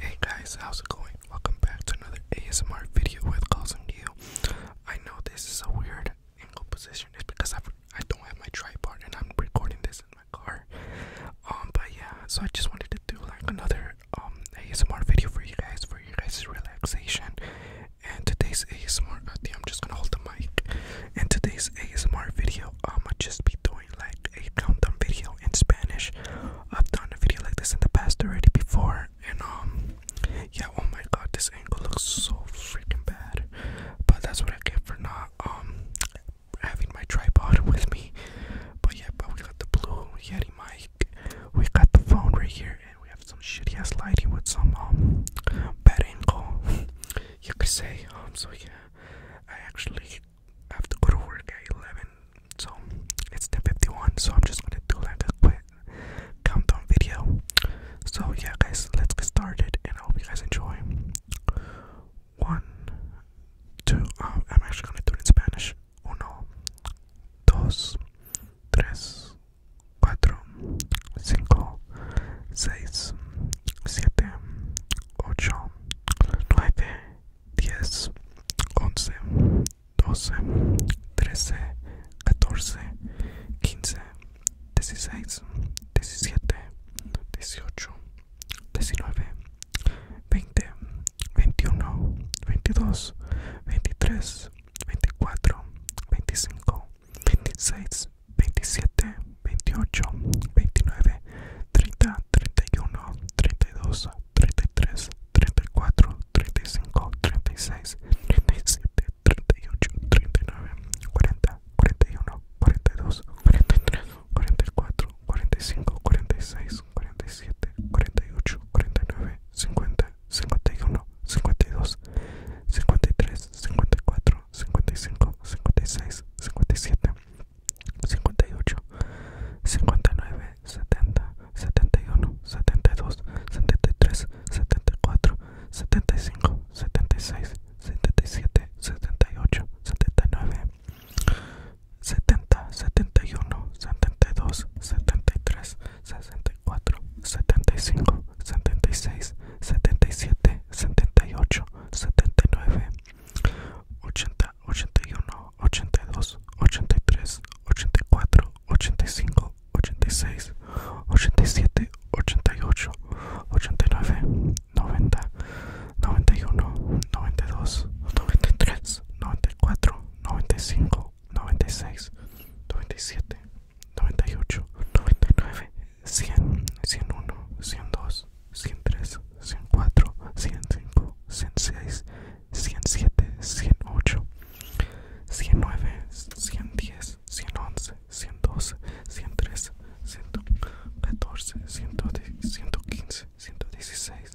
Hey guys, how's it going? Welcome back to another ASMR video with Carlson Deal. I know this is a weird angle position. It's because I I don't have my tripod and I'm recording this in my car. Um, but yeah, so I just wanted to do like another um ASMR video for you guys for your guys' relaxation. And today's ASMR, I'm just gonna hold the mic. And today's ASMR video, I'ma just be doing like a countdown video in Spanish. I've done a video like this in the past already before, and um, yeah. Oh my God, this angle looks so freaking bad. But that's what I get for not um having my tripod with me. But yeah, but we got the blue Yeti mic. We got the phone right here, and we have some shitty ass lighting with some um bad angle. You could say um. So yeah. I actually have to go to work at 11, so it's 10:51. So I'm just gonna do like a quick countdown video. So yeah, guys, let's get started, and I hope you guys enjoy. One, two. Oh, I'm actually gonna do it in Spanish. Uno, dos, tres, cuatro, 5, 6, 7, 8, 9, 10, 11, 12, 13, 14, 15, 16, 17, 18, 19, 20, 21, 22, 23, 24, 25, 26, 27, 28, 29, 30, 31, 32, 33, 34, 35, 36, 37, 38, 39, 40, 41, 42, 43, 44, 45, 46, 47, 48, 49, 50, 51, 52, 53, 54, 55, 56, 57, 58, 59, 70, 71, 72, 73, 74, 75, 76, 77, 78, 79, 70, 71, 72, 73, 60 74, 75, 76, 77, 78, 79, 80, 81, 82, 83, 84, 85, 86, 87, 88, 89, 90, 91, 92, 93, 94, 95, 96, 97, 98, 99, 100, 101, 102, 103, 104, 105, 106, 107, 108, 109, 110, 111, 112, 113, 114, 115, 116,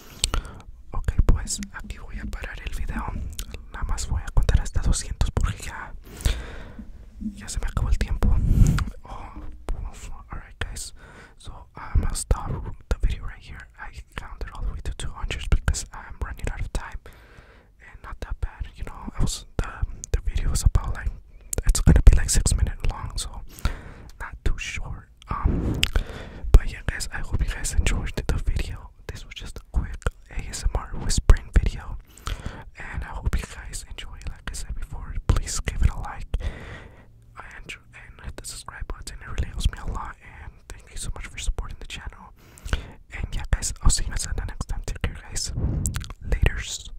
Ok, pues aquí voy a parar el video. Nada más voy a contar hasta 200 porque ya, ya se me acabó el tiempo. Oh, pues, alright, guys. So I'm gonna stop the video right here. I counted all the way to 200 because I'm running out of time. And not that bad, you know. I was the the video was about like it's gonna be like six minutes long, so not too short. Um, but yeah, guys, I hope you guys enjoyed the video. This was just a quick ASMR whispering video, and I hope you guys enjoy. Like I said before, please give it a like and, hit the subscribe button. It really helps me a lot. And thank you so much for supporting the channel. And yeah, guys, I'll see you guys the next time. Take care, guys. Later's.